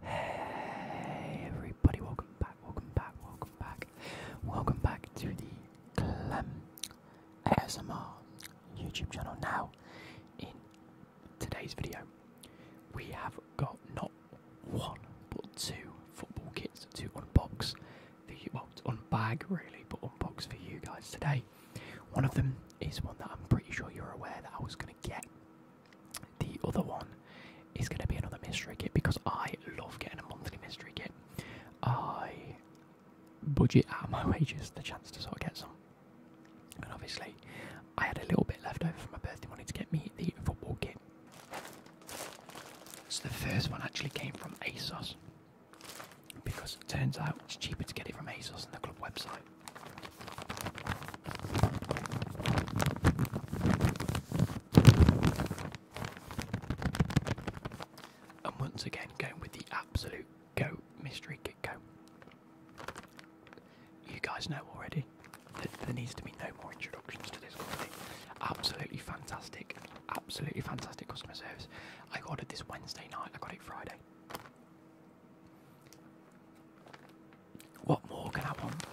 Hey everybody, welcome back, welcome back, welcome back. Welcome back to the Clem ASMR YouTube channel. Now, in today's video, we have got not one but two football kits to unbox for you, well, to unbag really, but unbox for you guys today. One of them is one that I'm pretty sure you're aware that I was going to get the other one is going to be another mystery kit because I love getting a monthly mystery kit. I budget out of my wages the chance to sort of get some. And obviously, I had a little bit left over for my birthday money to get me the football kit. So the first one actually came from ASOS because it turns out it's cheaper to get it from ASOS than the club website. And once again, going with the absolute goat mystery Kit Go. You guys know already that there needs to be no more introductions to this company. Absolutely fantastic, absolutely fantastic customer service. I ordered this Wednesday night, I got it Friday. What more can I want?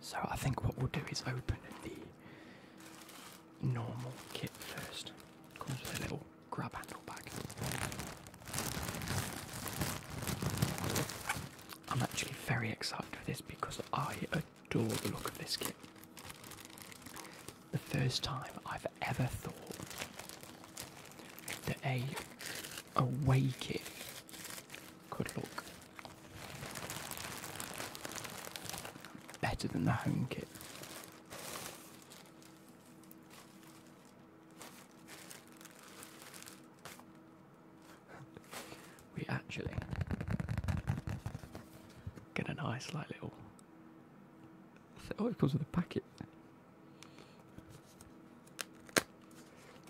So I think what we'll do is open the normal kit first. Comes with a little grab handle bag. I'm actually very excited for this because I adore the look of this kit the first time I've ever thought that a away kit could look better than the home kit. we actually get a nice like little Oh, it comes with a packet.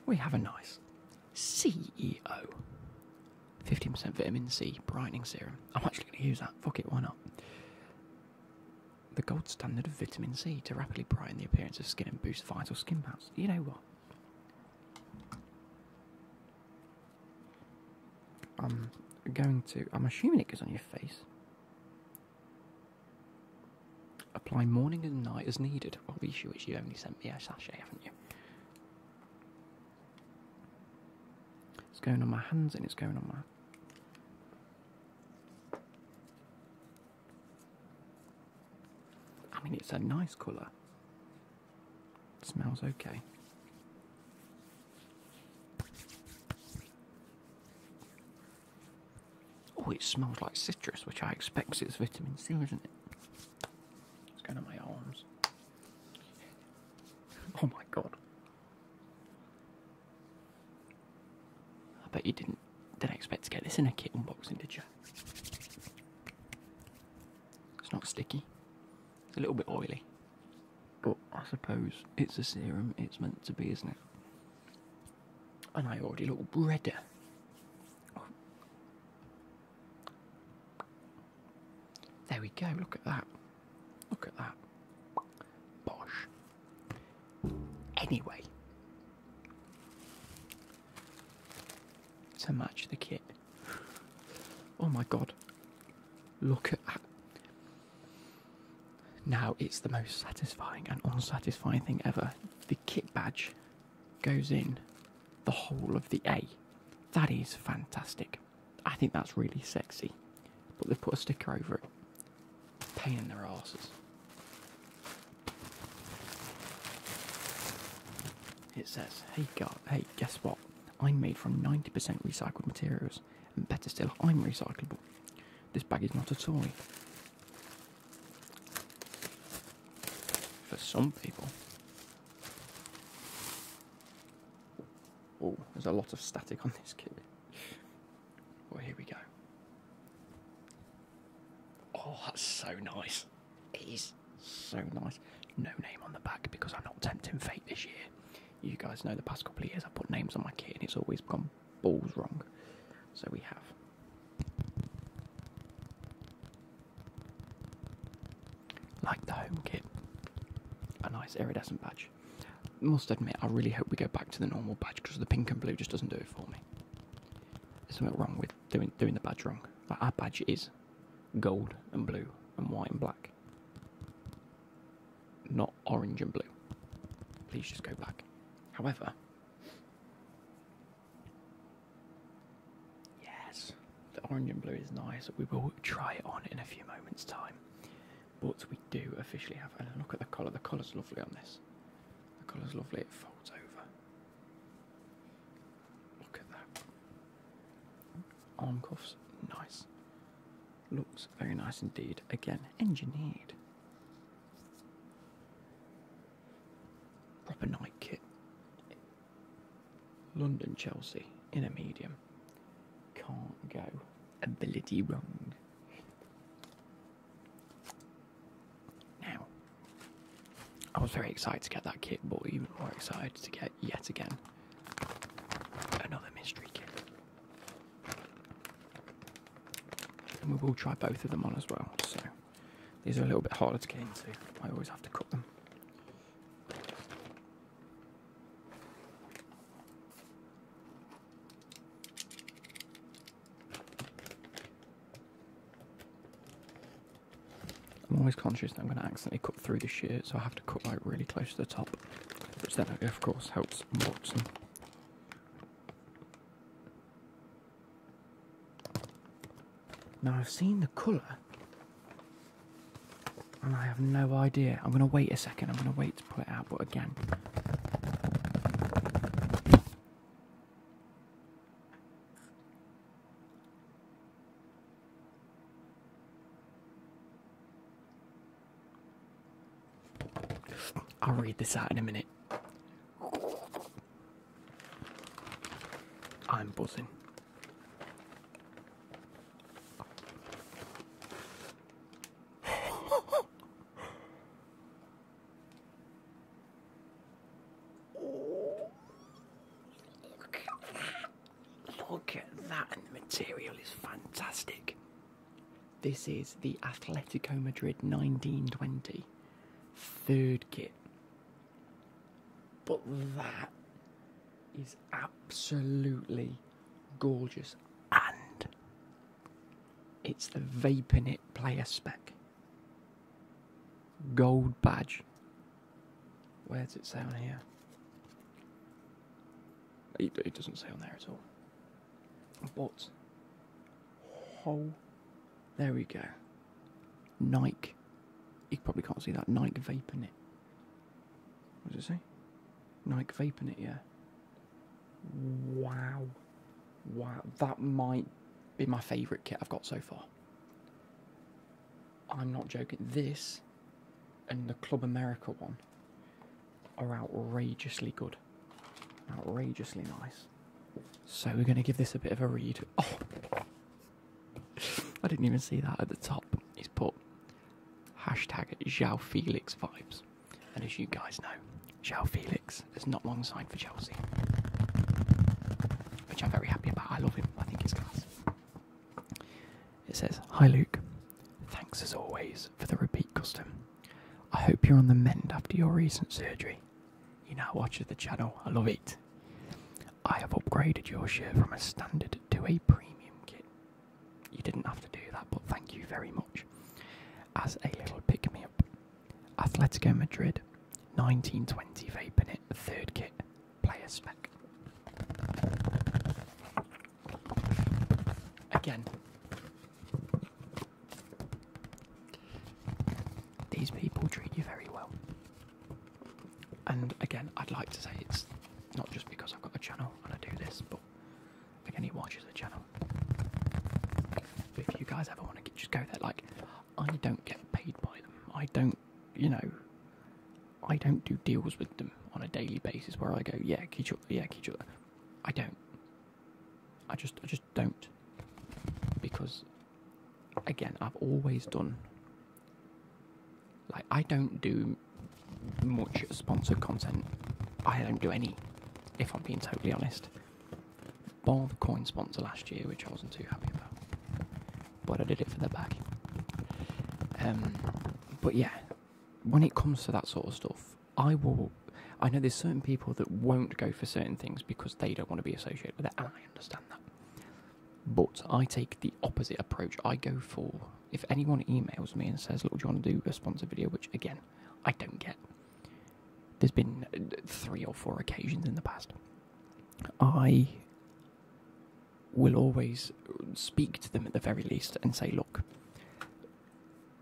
We have a nice CEO. 15% vitamin C brightening serum. I'm actually going to use that. Fuck it, why not? The gold standard of vitamin C to rapidly brighten the appearance of skin and boost vital skin balance. You know what? I'm going to. I'm assuming it goes on your face. Apply morning and night as needed. Well, the issue is you only sent me a sachet, haven't you? It's going on my hands and it's going on my. I mean, it's a nice colour. It smells okay. Oh, it smells like citrus, which I expect since it's vitamin C, isn't it? It's going on my arms. Oh my god. I bet you didn't didn't expect to get this in a kit unboxing, did you? It's not sticky. It's a little bit oily. But I suppose it's a serum, it's meant to be, isn't it? And I already look redder. Oh. There we go, look at that. Look at that. Bosh. Anyway, to match the kit. Oh my god. Look at that. Now it's the most satisfying and unsatisfying thing ever. The kit badge goes in the hole of the A. That is fantastic. I think that's really sexy. But they've put a sticker over it. Paying their asses. It says, hey, God, hey, guess what? I'm made from 90% recycled materials. And better still, I'm recyclable. This bag is not a toy. For some people. Oh, there's a lot of static on this kit. Well, here we go. Oh, that's so nice. It is so nice. No name on the back because I'm not tempting fate this year. You guys know the past couple of years I put names on my kit and it's always gone balls wrong. So we have. Like the home kit, a nice iridescent badge. Must admit, I really hope we go back to the normal badge because the pink and blue just doesn't do it for me. There's something wrong with doing doing the badge wrong. Like our badge is gold and blue and white and black not orange and blue. Please just go back. However, yes, the orange and blue is nice. We will try it on in a few moments' time. But we do officially have, a look at the colour. The is lovely on this. The is lovely. It folds over. Look at that. Arm cuffs, nice. Looks very nice indeed. Again, engineered. Proper night kit. London Chelsea in a medium. Can't go. Ability wrong. Now, I was very excited to get that kit, but even more excited to get yet again another mystery kit we will try both of them on as well. So these are a little bit harder to get into. I always have to cut them. I'm always conscious that I'm going to accidentally cut through the shirt, so I have to cut like really close to the top, which then, of course, helps Watson. Now I've seen the colour and I have no idea. I'm going to wait a second. I'm going to wait to put it out, but again. I'll read this out in a minute. I'm buzzing. Look at that, and the material is fantastic. This is the Atletico Madrid 1920 third kit. But that is absolutely gorgeous and it's the Vapornit player spec. Gold badge. Where does it say on here? it doesn't say on there at all. But oh, there we go. Nike. You probably can't see that Nike Vape it. What does it say? Nike Vape it, yeah. Wow. Wow. That might be my favourite kit I've got so far. I'm not joking. This and the Club America one are outrageously good. Outrageously nice. So we're going to give this a bit of a read. Oh! I didn't even see that at the top. He's put hashtag Zhao Felix vibes. And as you guys know, Xiao Felix has not long signed for Chelsea. Which I'm very happy about. I love him. I think he's class. It says, Hi Luke. Thanks as always for the repeat custom. I hope you're on the mend after your recent surgery. You now watch the channel. I love it. I have upgraded your shirt from a standard to a premium kit. You didn't have to do that, but thank you very much. As a little pick me up, Atletico Madrid 1920 vape in it, third kit, player spec. Again, these people treat you very well. And again, I'd like to say it's not just because I've got a channel and I do this, but again, he watches the channel. if you guys ever want to just go there, like, I don't get paid by them. I don't, you know, I don't do deals with them on a daily basis where I go, yeah, Kichula, yeah, Kichula. I don't. I just I just don't. Because again, I've always done like I don't do much sponsored content. I don't do any, if I'm being totally honest. Bar the coin sponsor last year, which I wasn't too happy about. But I did it for the bag. Um, but yeah, when it comes to that sort of stuff, I will. I know there's certain people that won't go for certain things because they don't want to be associated with it, and I understand that. But I take the opposite approach. I go for if anyone emails me and says, "Look, do you want to do a sponsor video?" Which again, I don't get. There's been uh, three or four occasions in the past. I will always uh, speak to them at the very least and say, "Look,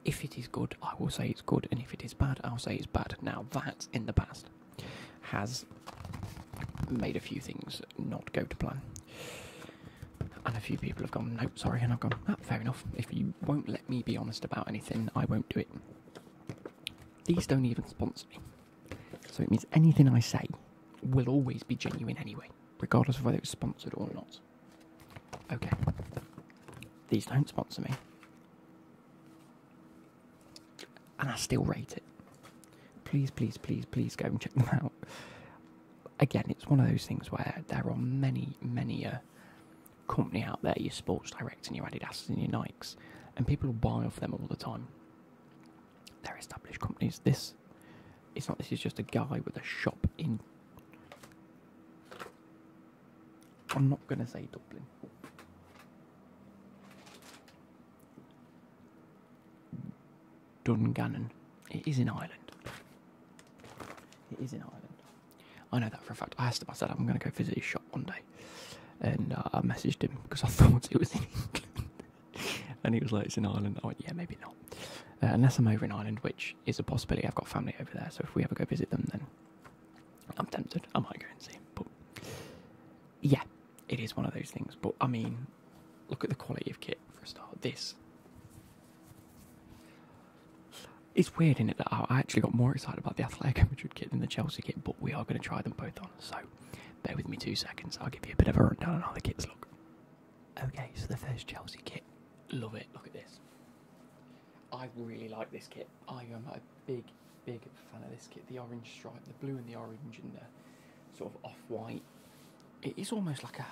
if it is good, I will say it's good, and if it is bad, I'll say it's bad. Now, that in the past has made a few things not go to plan. And a few people have gone, no, sorry, and I've gone, ah, fair enough. If you won't let me be honest about anything, I won't do it. These don't even sponsor me. So it means anything I say will always be genuine anyway, regardless of whether it's sponsored or not. Okay. These don't sponsor me. And I still rate it. Please, please, please, please go and check them out. Again, it's one of those things where there are many, many companies out there, your Sports Direct and your Adidas and your Nikes, and people buy off them all the time. They're established companies. This it's not. This is just a guy with a shop in. I'm not going to say Dublin. Dungannon. It is in Ireland. It is in Ireland. I know that for a fact. I asked him, I said, I'm going to go visit his shop one day. And uh, I messaged him because I thought it was in and he was like, it's in Ireland. I went, yeah, maybe not. Uh, unless I'm over in Ireland, which which is a possibility. I've got family over there, so if we ever go visit them, then I'm tempted. I might go and see. But yeah, it is one of those things. But I mean, look at the quality of kit for a start. This. It's weird, isn't it? That I actually got more excited about the Athletic Madrid kit than the Chelsea kit, but we are going to try them both on. So bear with me two seconds. I'll give you a bit of a rundown on how the kits look. Okay, so the first Chelsea kit Love it. Look at this. I really like this kit. I am a big, big fan of this kit. The orange stripe, the blue and the orange, and the sort of off-white. It is almost like a,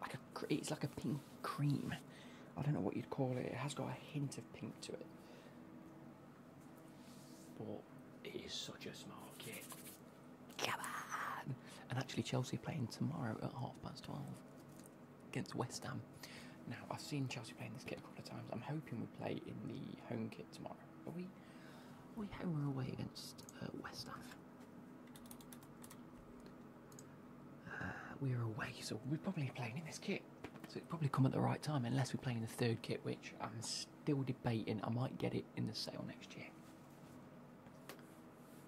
like a, it's like a pink cream. I don't know what you'd call it. It has got a hint of pink to it. But it is such a smart kit. Come on! And actually, Chelsea playing tomorrow at half past twelve against West Ham. Now, I've seen Chelsea playing this kit a couple of times. I'm hoping we play in the home kit tomorrow. Are we, we home away against uh, West Ham? Uh, we're away, so we're probably playing in this kit. So it probably come at the right time, unless we're playing the third kit, which I'm still debating. I might get it in the sale next year.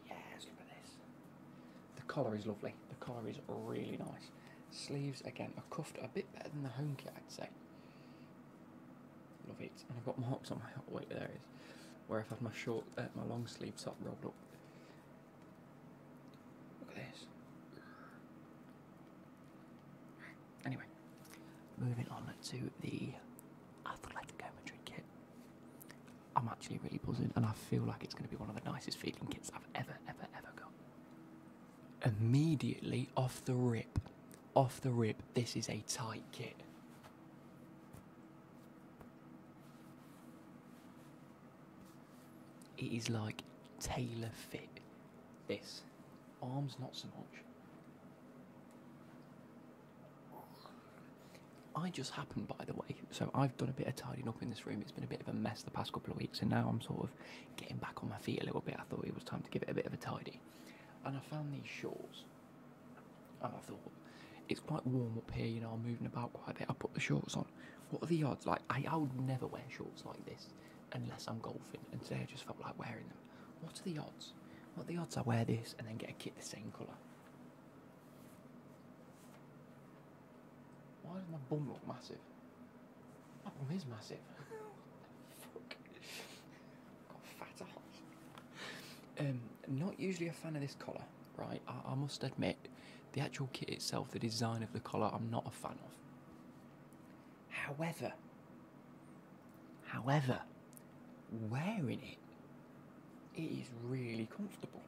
Yes, look at this. The collar is lovely. The collar is really nice. Sleeves, again, are cuffed a bit better than the home kit, I'd say. Love it. And I've got marks on my hot there is. Where I've had my short, uh, my long sleeves top rolled up. Look at this. Anyway, moving on to the Athletic Madrid kit. I'm actually really buzzing, and I feel like it's going to be one of the nicest feeling kits I've ever, ever, ever got. Immediately off the rip, off the rip, this is a tight kit. It is like tailor fit. This arms, not so much. I just happened, by the way, so I've done a bit of tidying up in this room. It's been a bit of a mess the past couple of weeks, and now I'm sort of getting back on my feet a little bit. I thought it was time to give it a bit of a tidy. And I found these shorts. and I thought, it's quite warm up here, you know, I'm moving about quite a bit. I put the shorts on. What are the odds? Like, I, I would never wear shorts like this unless I'm golfing, and today I just felt like wearing them. What are the odds? What are the odds I wear this and then get a kit the same colour? Why does my bum look massive? My bum is massive. fuck? got fat Um, not usually a fan of this collar, right? I, must admit, the actual kit itself, the design of the collar, I'm not a fan of. However, however, wearing it it is really comfortable.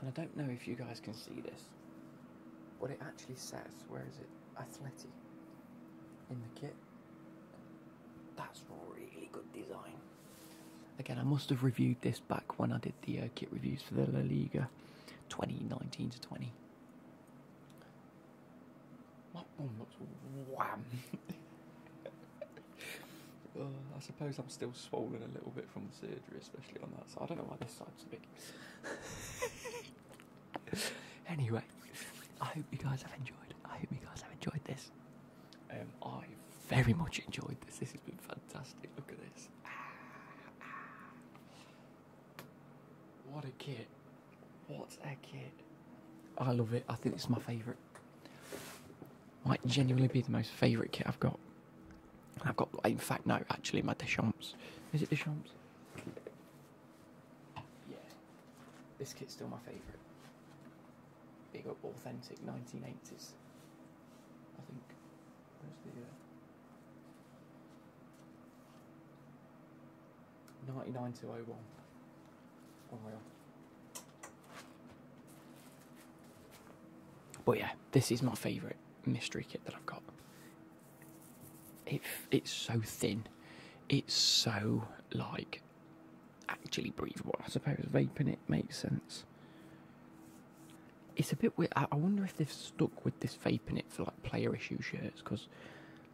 And I don't know if you guys can see this. What it actually says, where is it? Athletic. in the kit. That's really good design. Again, I must have reviewed this back when I did the uh, kit reviews for the La Liga 2019 to 20. My bum looks wham. I suppose I'm still swollen a little bit from the surgery, especially on that side. I don't know why this side's big. anyway, I hope you guys have enjoyed. I hope you guys have enjoyed this. Um, I very much enjoyed this. This has been fantastic. Look at this. Ah, ah. What a kit. What a kit. I love it. I think it's my favourite. Might genuinely be the most favourite kit I've got. I've got, in fact, no, actually, my Deschamps. Is it Deschamps? Yeah. This kit's still my favourite. Big up authentic 1980s, I think. Where's uh, ninety nine to oh one? Oh my god. But yeah, this is my favourite mystery kit that I've got. It, it's so thin. It's so like actually breathable. I suppose vaping it makes sense it's a bit weird. I wonder if they've stuck with this vape in it for like player issue shirts because,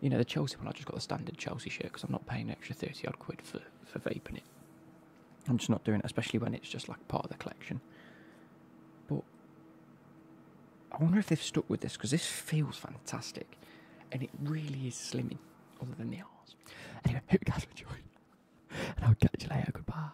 you know, the Chelsea one I just got the standard Chelsea shirt because I'm not paying an extra thirty odd quid for for vape it. I'm just not doing it, especially when it's just like part of the collection. But I wonder if they've stuck with this because this feels fantastic, and it really is slimming other than the arms. Anyway, hope you guys enjoyed, and I'll catch you later. Goodbye.